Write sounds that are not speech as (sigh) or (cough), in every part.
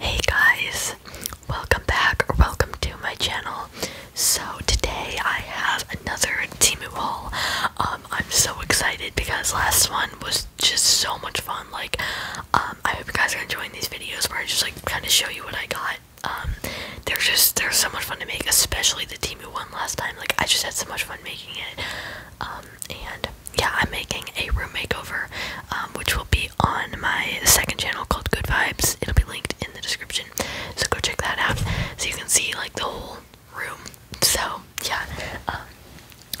Hey guys, welcome back welcome to my channel. So today I have another Timu haul. Um, I'm so excited because last one was just so much fun. Like, um, I hope you guys are enjoying these videos where I just like kind of show you what I got. Um, they're just they're so much fun to make, especially the Timu one last time. Like, I just had so much fun making it. Um, and yeah, I'm making a room makeover, um, which will be on my second channel called Good Vibes. It'll be linked in the description, so go check that out so you can see like the whole room. So yeah, um,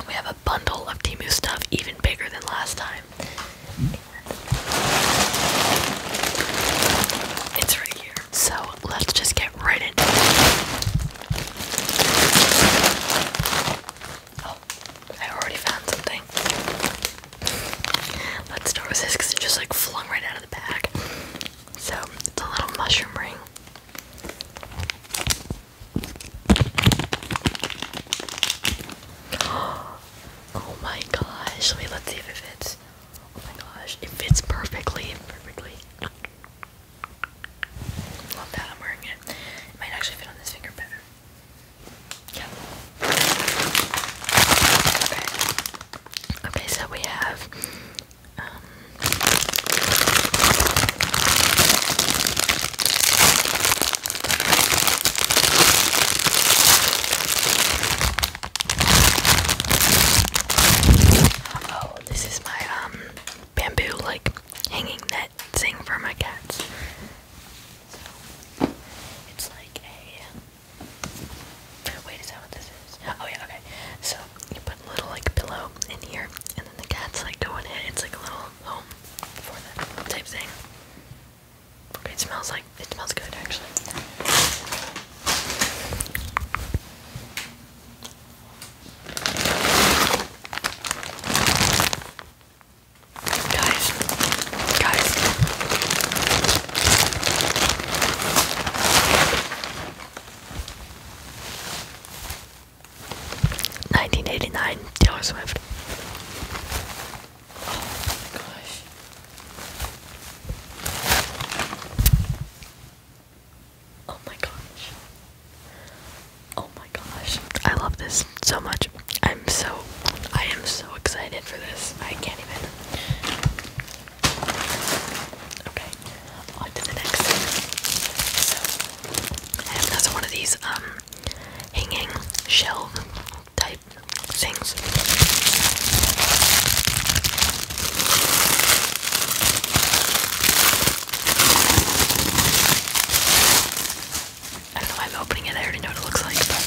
we have a bundle of Timu stuff, even bigger than last time. It's right here. So let's just get right into it. Oh, I already found something. Let's start with this because it just like flung right out of the bag. So it's a little mushroom ring. (gasps) Oh my gosh. Wait, let's see if it fits. Oh my gosh. It fits perfectly. Perfectly. Love that, I'm wearing it. It might actually fit on this finger better. Yeah. Okay. Okay, so we have um, Oh, this is my um bamboo like hanging net thing for my cats. So, it's like a. Wait, is that what this is? Oh yeah, okay. So you put a little like pillow in here, and then the cats like go in It's like a little home type thing. It smells like it smells good actually. Guys, guys, nineteen eighty nine Taylor Swift. Oh my gosh. Oh my gosh. Oh my gosh, I love this so much. I'm so, I am so excited for this. I can't even. Okay, on the next So, and one of these um hanging shelf type things. I don't know why I'm opening it. I already know what it looks like, but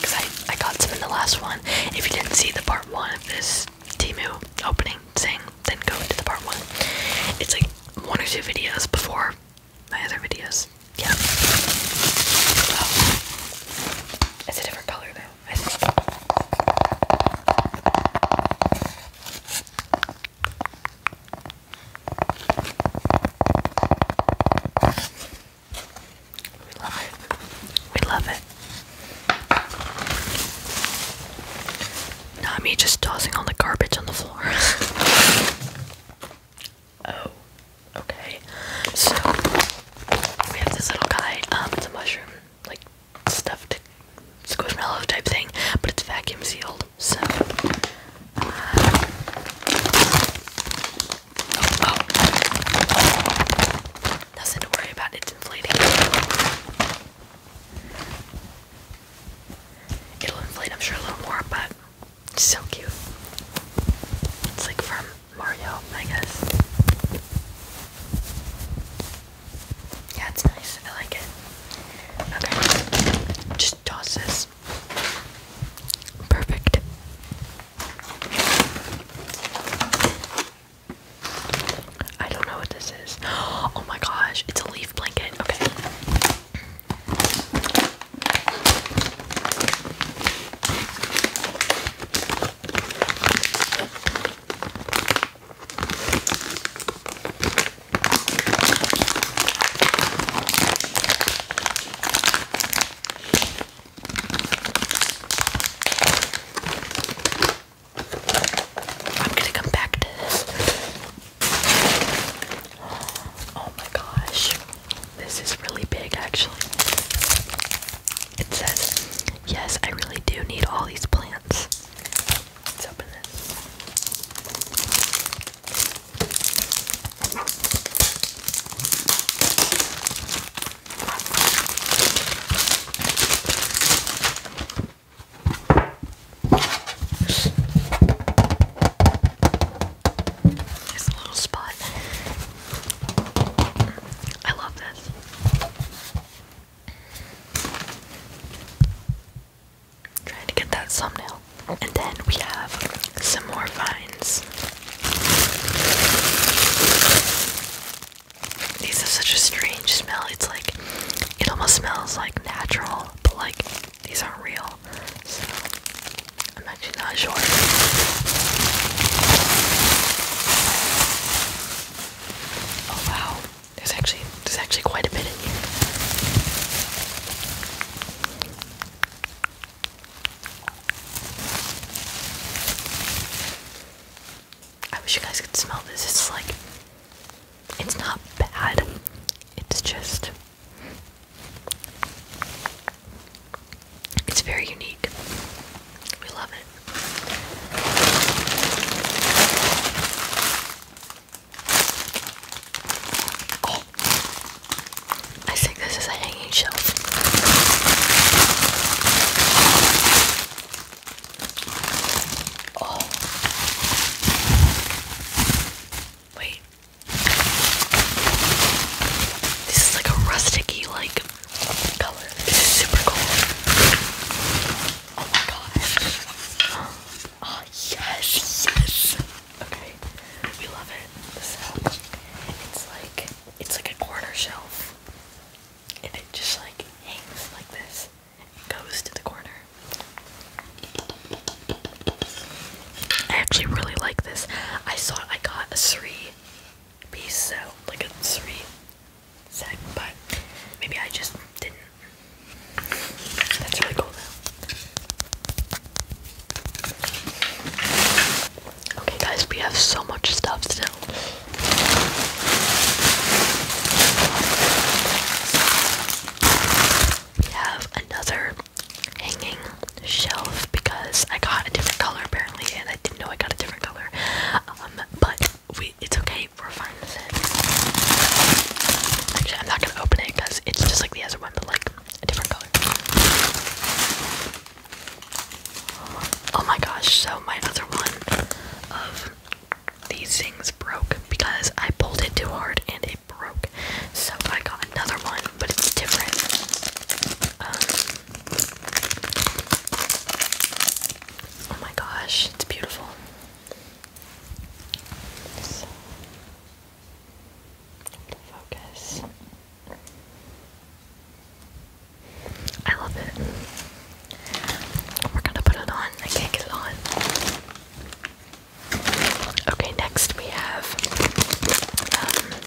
because I I got some in the last one. If you didn't see the part one of this Timu opening thing, then go into the part one. It's like one or two videos before my other videos. Yeah. Oh. It's a different color though. I think. We love it. We love it. Not me just tossing all the garbage on the floor. (laughs) oh, okay. So we have this little guy. Um, it's a mushroom, like stuffed squishmallow type thing, but it's vacuum sealed. So, uh, oh, oh, nothing worry about, it's inflating. It'll inflate, I'm sure, a little more, but so cute. It's like from Mario, I guess. Yeah, it's nice. I like it. Okay. Just toss this. Perfect. I don't know what this is. (gasps) Oh my gosh, it's a leaf blanket. Okay. I'm gonna come back to this. Oh my gosh, this is really big actually. It says, Yes, I really do need all these plants. Let's open this. a little spot. I love this. Trying to get that thumbnail. And then we have some more vines. These have such a strange smell. It's like, it almost smells like natural, but like, these aren't real. So, I'm actually not sure. Oh wow. There's actually there's actually quite a bit in here. I wish you guys could smell this. It's like it's not bad. It's just it's very unique. We love it. I think this is a hanging shelf. Oh, wait. This is like a rusticy like color. This is super cool. Oh my gosh. Oh yes, yes. Okay, we love it. The sound. It's like it's like a corner shelf, and it just like hangs like this. It goes to the corner. I actually really like this. I thought I got a three piece, so like a three set, but maybe I just didn't that's really cool though. Okay guys, we have so much stuff still. We have another hanging shelf because I got a different color apparently and I didn't know I got a different color. Um but we it's okay Actually, I'm not gonna open it because it's just like the other one, but like a different color. Oh my gosh! So my other one of these things broke because I pulled it too hard and it broke. So I got another one, but it's different. Um, oh my gosh! It's beautiful. So, focus. I love it. We're gonna put it on. I can't get it on. Okay, next we have um,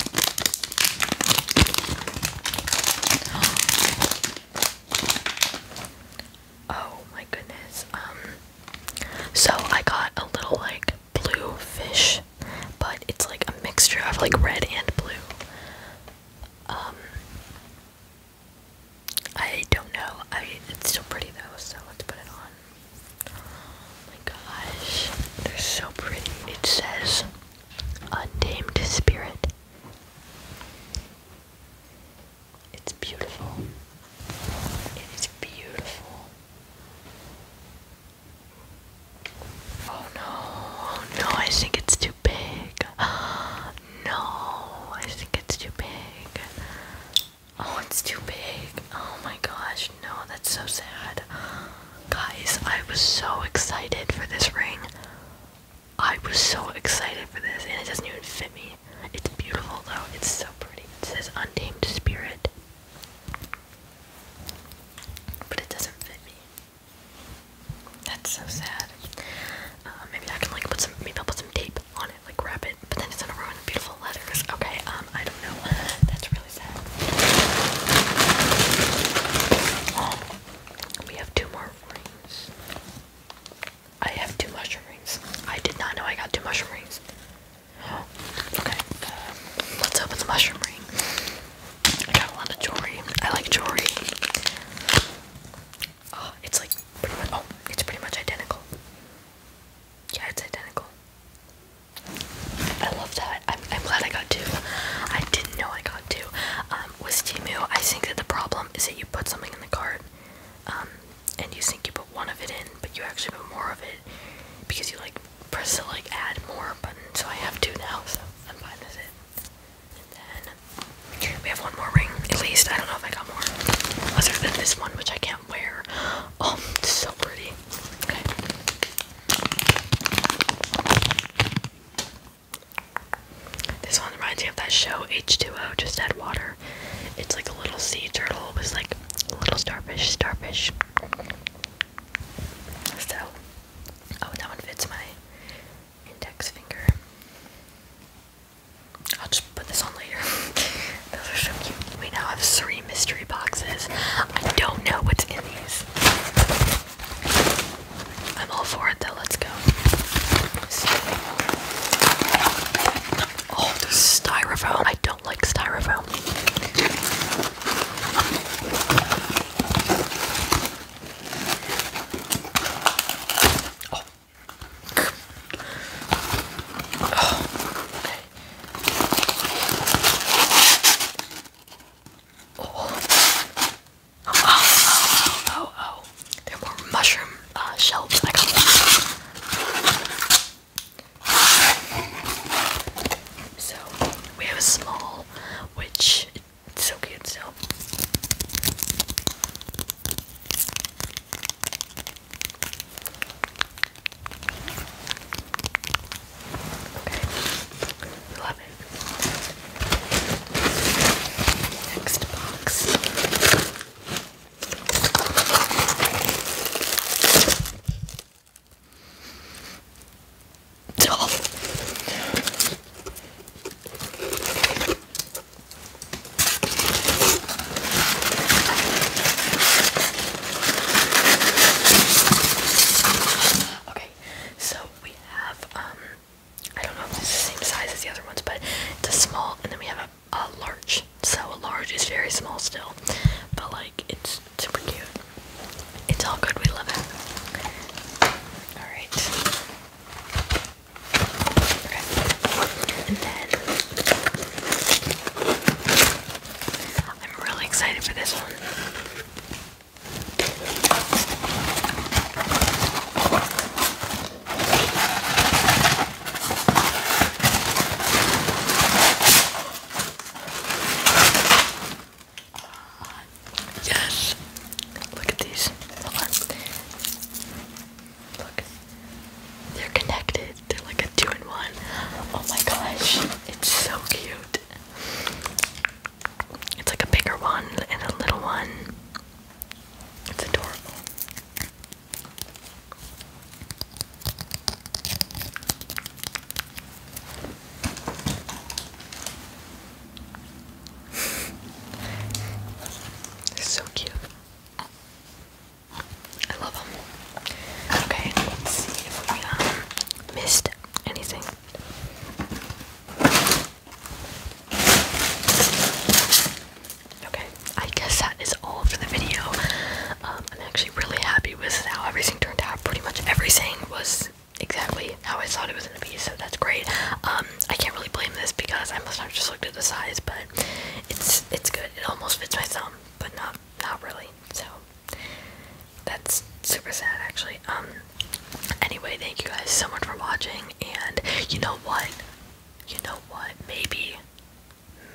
Oh my goodness. Um, so I got a little like blue fish, but it's like a mixture of like red and blue. Um I don't know. I it's still pretty though, so let's put it on. Oh my gosh. They're so pretty. It says untamed spirit. It's beautiful. It is beautiful. Oh no, oh no, I think it's too big. (gasps) no, I think it's too big. Oh, it's too big. Oh my gosh, no, that's so sad. Guys, I was so excited for this ring. I was so excited for this, and it doesn't even fit me. It's beautiful though. It's so pretty. It says Untamed Spirit. But it doesn't fit me. That's so sad. Uh, maybe I can like put some maybe I'll put some tape on it, like wrap it, but then it's gonna ruin the beautiful letters. Okay, um, I don't know. (laughs) That's really sad. we have two more rings. I have two mushroom rings. I did not know I got two mushroom rings. okay, um, let's open the mushroom ring. I got a lot of jewelry. I like jewelry. Oh, it's like pretty much. Oh, it's pretty much identical. Yeah, it's identical. I love that. I'm, I'm glad I got two. I didn't know I got two. Um, with Timu, I think that the problem is that you put something in the cart, um, and you think you put one of it in, but you actually put more of it because you like press the like add more button. So I have two now, so I'm buying this. And then we have one more ring, at least. I don't know if I got more other than this one, which I can't wear. Um, it's so pretty. Okay. This one reminds me of that show H2O, just add water. It's like a little sea turtle was like a little starfish, starfish. So, oh, that one fits my index finger. I'll just put this on later. (laughs) Those are so cute. We now have three mystery boxes. I don't know what's in these. I'm all for it though, let's go. Oh, this styrofoam. I don't like styrofoam. oh, oh, oh, oh, they're more mushroom uh, shells. I So we have a small, which it's so cute still. Okay, love it. Next box. Okay, so we have um I don't know if it's the same size as the other ones, but it's a small and then we have a a large. So a large is very small still, but like it's super cute. It's all good. We love it. All right. And then I'm really excited for this one. Yes. Look at these. Look. They're connected. They're like a two in one. Oh my gosh. It's so cute. It's like a bigger one and a little one. It's adorable so cute. I love them. Okay, let's see if we um, missed anything. Okay, I guess that is all for the video. Um, I'm actually really happy with how everything turned out. Pretty much everything was exactly how I thought it was gonna be, so that's great. Um, I can't really blame this because I must have just looked at the size, but it's it's good. It almost fits my thumb, but not not really. So that's super sad, actually. Um, anyway, thank you guys so much for watching, and you know what? You know what? Maybe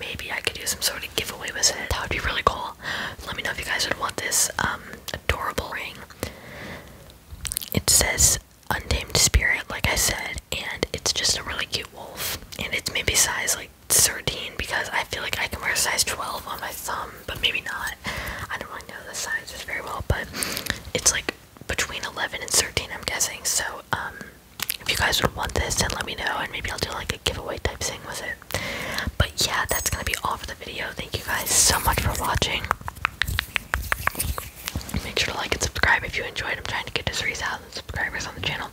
maybe I could do some sort of giveaway with it. That would be really cool. Let me know if you guys would want this um, adorable ring. It says Untamed Spirit, like I said, and it's just a really cute wolf. And it's maybe size like 13 because I feel like I can wear a size 12 on my thumb, but maybe not. I don't really know the sizes very well, but it's like between 11 and 13, I'm guessing. So, um, if you guys would want this, then let me know, and maybe I'll do like a giveaway type thing with it. But yeah, that's gonna be all for the video. Thank you guys so much for watching. Make sure to like and subscribe if you enjoyed. I'm trying to get to 3,000 subscribers on the channel,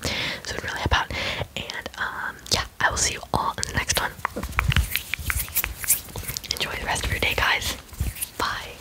so it really help out. And um, yeah, I will see you all in the next one. Enjoy the rest of your day, guys. Bye.